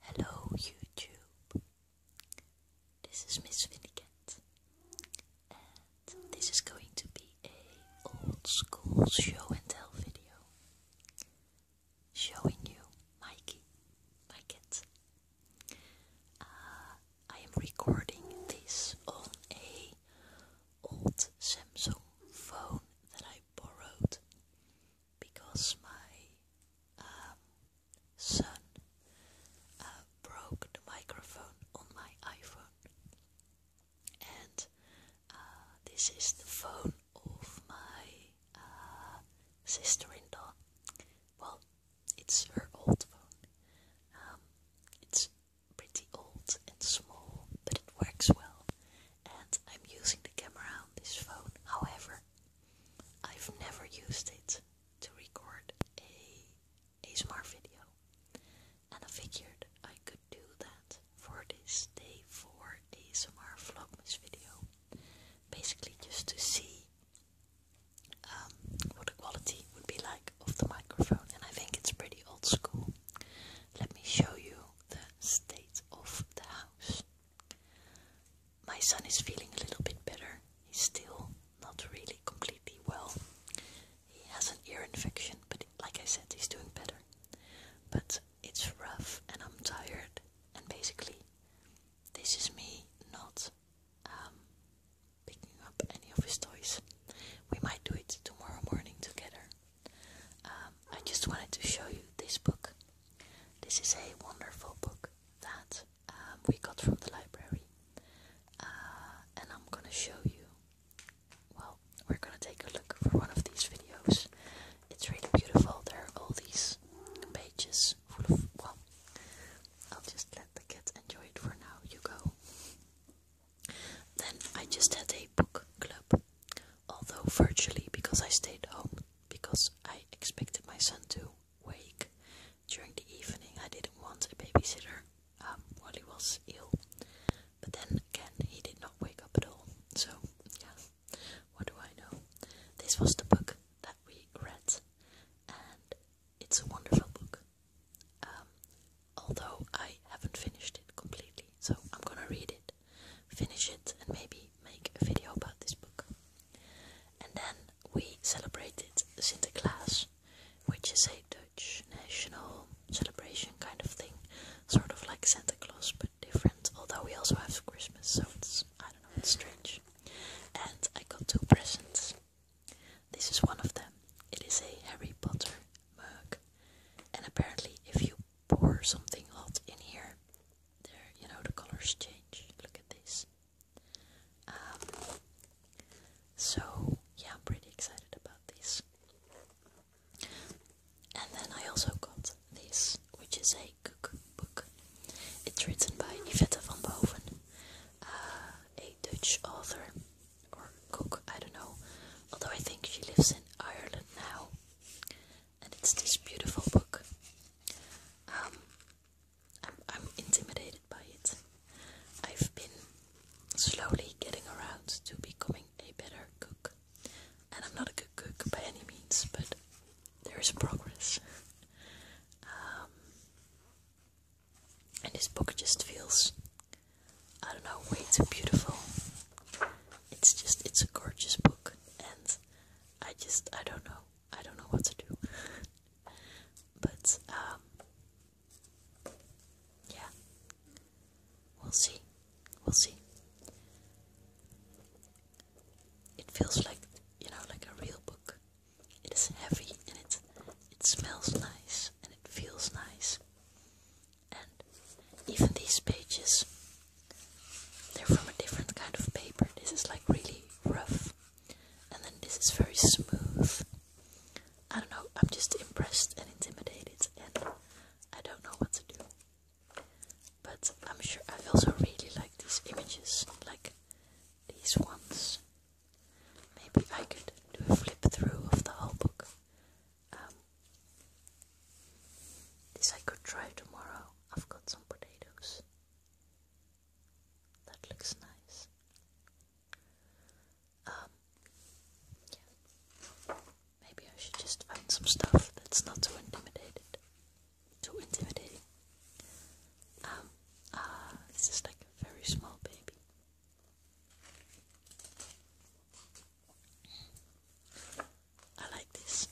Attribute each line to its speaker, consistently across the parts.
Speaker 1: Hello, YouTube. This is Miss Vinnicat, and this is going to be a old school show and tell video, showing you Mikey, my cat. Uh, I am recording this on a old Samsung phone that I borrowed because my um, son uh, broke the microphone on my iPhone, and uh, this is the phone of my uh, sister-in-law. Well, it's her old phone. Um, it's pretty old and small, but it works well. And I'm using the camera on this phone. However, I've never used it to record a ASMR video, and I figured I could do that for this day for ASMR Vlogmas video, basically just to see um, what the quality would be like of the microphone, and I think it's pretty old school. Let me show you the state of the house my son is feeling a little bit better. He's still not really completely well. He has an ear infection, but like I said, he's doing better. But it's rough, and I'm tired, and basically, this is me not um, picking up any of his toys. We might do it tomorrow morning together. Um, I just wanted to show you this book. This is a wonderful book that um, we got from the library, uh, and I'm gonna show you. Well, we're gonna take a look for one of these videos. It's really beautiful. There are all these pages full of. Well, I'll just let the kids enjoy it for now. You go. Then I just had a book club, although virtually because I stayed home because I expected my son to wake during the evening. I didn't want a babysitter um, while he was ill, but then again, he did not wake up at all. So, yeah, what do I know? This was the book that we read, and it's a wonderful book. Um, although I haven't finished it completely, so I'm gonna read it finish it, and maybe make a video about this book. And then we celebrated Santa Claus, which is a Dutch national celebration kind of thing, sort of like Santa Claus but different, although we also have Christmas, so it's, I don't know, it's strange. And I got two presents. This is one of them. It is a Harry Potter mug, and apparently, if you pour something hot in here, there you know the colors change look at this um, so yeah I'm pretty excited about this and then I also got this which is a cookbook it's written by Yvette van Boven uh, a Dutch author or cook I don't know although I think she lives in Ireland now and it's this beautiful book. Um, I'm, intimidated by it. I've been slowly getting around to becoming a better cook, and I'm not a good cook by any means, but there is progress. Um, and this book just feels, I don't know, way too beautiful. It's just, it's a gorgeous book, and I just, I don't know. I don't know what to do. but um, yeah. We'll see. We'll see. It feels like you know, like a real book. It is heavy and it it smells nice and it feels nice. And even these pages they're from a different kind of paper. This is like really rough, and then this is very smooth. I don't know, I'm just impressed and intimidated, and I don't know what to do. But I'm sure I also really like these images, like these ones. Maybe I could do a flip through of the whole book. Um, this I could try tomorrow. I've got some potatoes. That looks nice. Um, Maybe I should just find some stuff that's not too intimidated. Too intimidating. Um, ah, like a very small baby. I like this.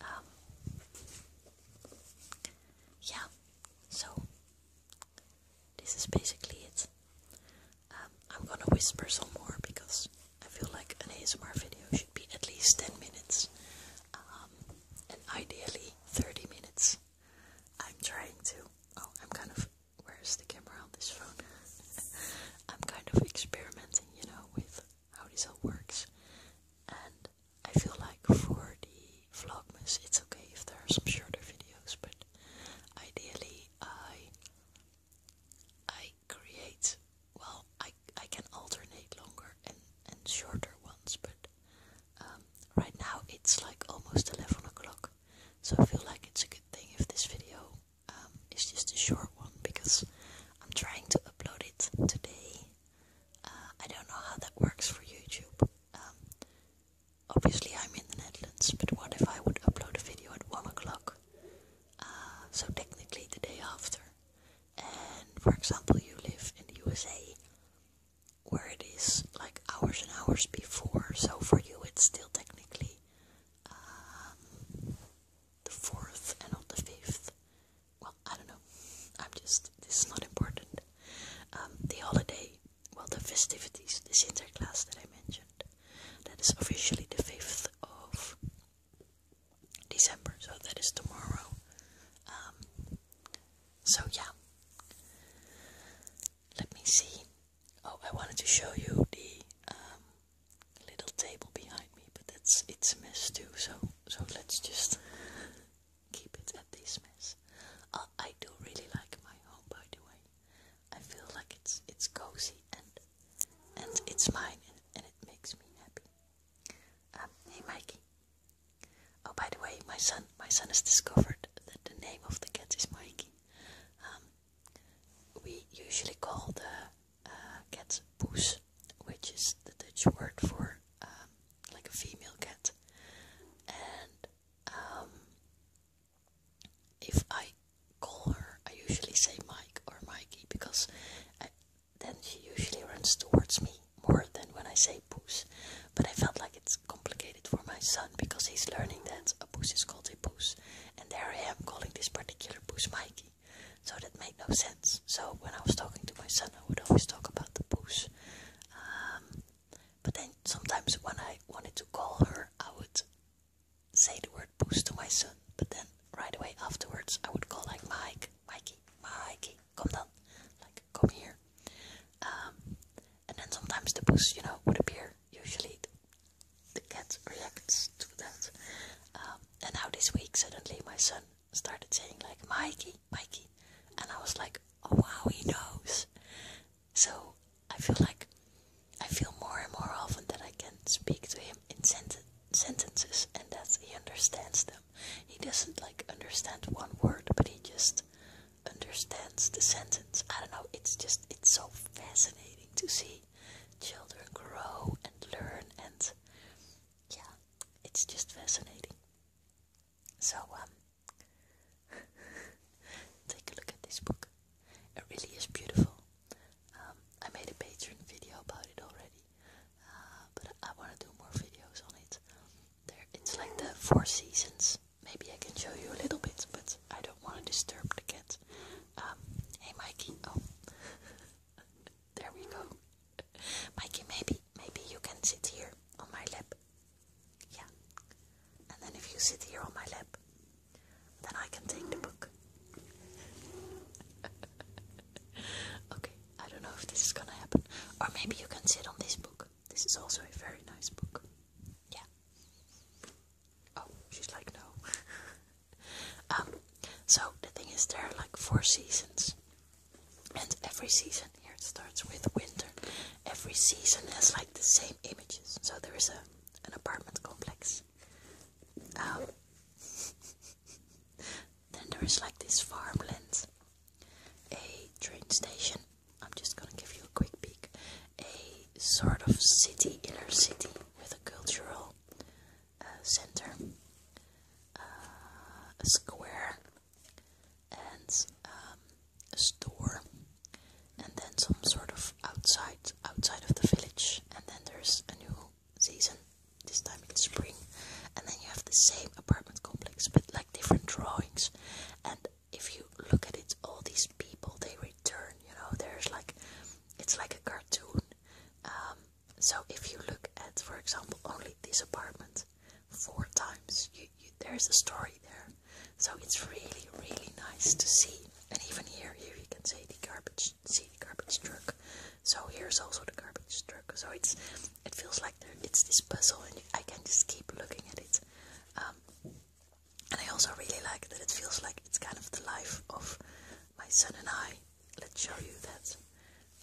Speaker 1: Um, yeah, so this is basically it. Um, I'm gonna whisper some more because I feel like an ASMR video should be at least 10 minutes um, and ideally 30 minutes. I'm trying to. Oh, I'm kind of. Where's the camera on this phone? I'm kind of experimenting, you know, with how this all works. And I feel like for the vlogmas, it's okay if there are some shorter videos, but ideally I I create well I I can alternate longer and and shorter ones, but um, right now it's like almost eleven o'clock, so I feel like it's a good thing if this video um, it's just a short one because I'm trying to upload it today. Uh, I don't know how that works for YouTube. Um, obviously, I'm in the Netherlands, but what if I would upload a video at 1 o'clock? Uh, so, technically, the day after. And for example, you live in the USA where it is like hours and hours before, so for you, it's still technically um, the fourth and not the fifth. Well, I don't know. I'm just, this is not important. Um, the holiday, well, the festivities, the Sinterklaas that I mentioned, that is officially the 5th of December, so that is tomorrow. Um, so, yeah. Let me see. Oh, I wanted to show you the um, a little table behind me, but that's it's a mess too. So so let's just keep it at this mess. Uh, I do really like my home, by the way. I feel like it's it's cozy and and it's mine and, and it makes me happy. Um, hey Mikey. Oh, by the way, my son my son has discovered that the name of the cat is Mikey. Um, we usually call the uh, cat which is the Dutch word for um, like a female cat. And um, if I call her, I usually say Mike or Mikey because then she usually runs towards me more than when I say poos. But I felt like it's complicated for my son because he's learning that a poos is called a poos, and there I am calling this particular poos Mikey. So that made no sense. So when I was talking to my son, I would always talk about the poos. Um, but then sometimes when I wanted to call her, I would say the word poos to my son. But then right away afterwards, I would call like Mike, Mikey, Mikey, come down, like come here. Um, and then sometimes the poos, you know, would appear. Usually the cat reacts to that. Um, and now this week, suddenly my son started saying like Mikey, Mikey, and I was like, oh, wow, he knows. So I feel like I feel more and more often that I can speak to him in sentences and that he understands them. He doesn't like understand one word, but he just understands the sentence. I don't know, it's just, it's so fascinating to see children grow and learn and yeah, it's just fascinating. So, um, take a look at this book. It really is beautiful. Um, I made a Patreon video about it already, uh, but I want to do more videos on it. There, it's like the Four Seasons. Maybe I can show you a little bit, but I don't want to disturb the cat. Um, hey Mikey, oh. there we go. Mikey, maybe maybe you can sit here on my lap. Yeah. And then if you sit here on my lap, then I can take the book. okay, I don't know if this is gonna happen. Or maybe you can sit on this book. This is also a very nice book. Yeah. Oh, she's like, no. Um, so the thing is, there are like four seasons, and every season here it starts with winter. Every season has like the same images. So there is a an apartment complex. Um, then there is like this farmland, a train station. I'm just gonna give you a quick peek. A sort of city, inner city, with a cultural center, uh, a square, and um, a store, and then some sort of outside outside of the village. And then there's a new season. This time it's spring, and then you have the same apartment complex, but like different drawings. And if you look at it, all these people they return. You know, there's like it's like a cartoon. Um, so if you look at, for example, only this apartment four times, there's a story there. So it's really, really nice to see. And even here, here you can see the garbage, see the garbage truck. So here's also the garbage truck. So it's, it feels like there, it's this puzzle, and I can just keep looking at it. Um, and I also really like that it feels like it's kind of the life of my son and I let's show you that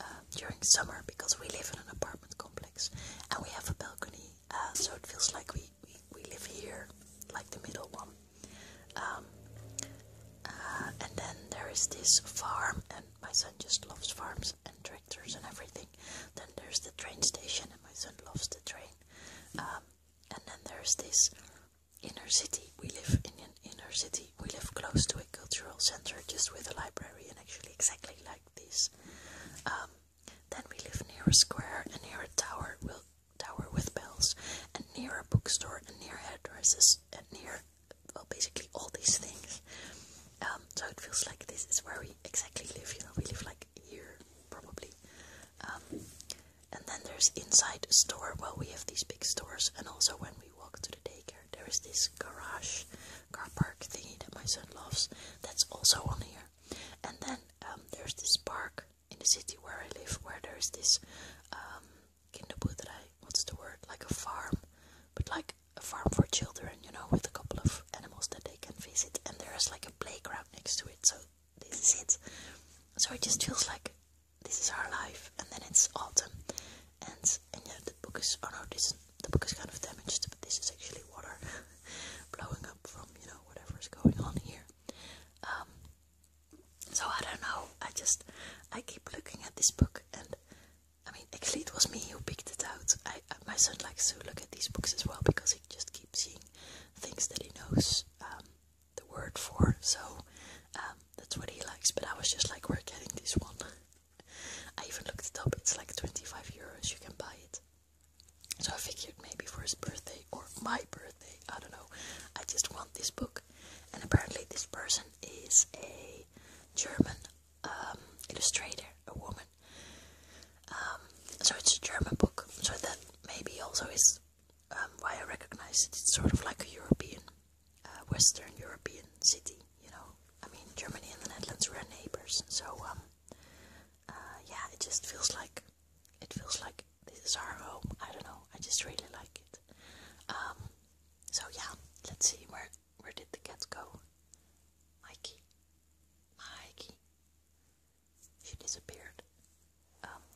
Speaker 1: um, during summer because we live in an apartment complex and we have a balcony uh, so it feels like we, we, we live here like the middle one um, uh, and then there is this farm and my son just loves farms and tractors and everything then there's the train station and my son loves the train um, and then there's this inner city. We live in an inner city. We live close to a cultural center, just with a library, and actually exactly like this. Um, then we live near a square and near a tower, tower with bells, and near a bookstore and near addresses and near, well, basically all these things. Um, so it feels like this is where we exactly live. You know, we live like here probably. Um, and then there's inside a store. Well, we have these big stores, and also when we walk to the daycare, there is this garage car park thingy that my son loves. That's also on here. And then um, there's this park in the city where I live, where there is this um, kind of What's the word? Like a farm, but like a farm for children, you know, with a couple of animals that they can visit. And there is like a playground next to it. So this is it. So it just feels like this is our life, and then it's autumn, and yeah, the book is oh no, this the book is kind of damaged, but this is actually water blowing up from you know whatever is going on here. Um, so I don't know. I just I keep looking at this book, and I mean actually it was me who picked it out. my son likes to look at these books as well because he just keeps seeing things that he knows. Um, the word for, so um, that's what he likes. But I was just like, we're getting this one. I even looked it up, it's like 25 euros, you can buy it. So I figured maybe for his birthday or my birthday, I don't know, I just want this book. And apparently, this person is a German um, illustrator, a woman. Um, so it's a German book, so that maybe also is um, why I recognize it. It's sort of like a European, uh, Western European city. You know, I mean, Germany and the Netherlands are neighbors, so um, uh, yeah, it just feels like it feels like this is our home. I don't know. I just really like it. Um, so yeah, let's see where where did the cat go? Mikey, Mikey, she disappeared.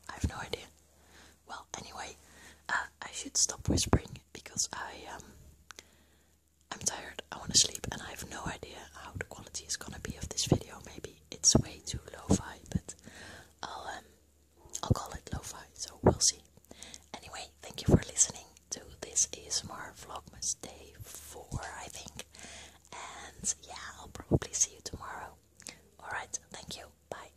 Speaker 1: I have no idea. Well, anyway, uh, I should stop whispering because I um, I'm tired. I want to sleep, and I have no idea how the quality is gonna be of this video. Maybe it's way too lo-fi, but I'll um, I'll call it lo-fi. So we'll see. Anyway, thank you for listening to this Is ASMR Vlogmas Day Four, I think. And yeah, I'll probably see you tomorrow. Alright, thank you. Bye.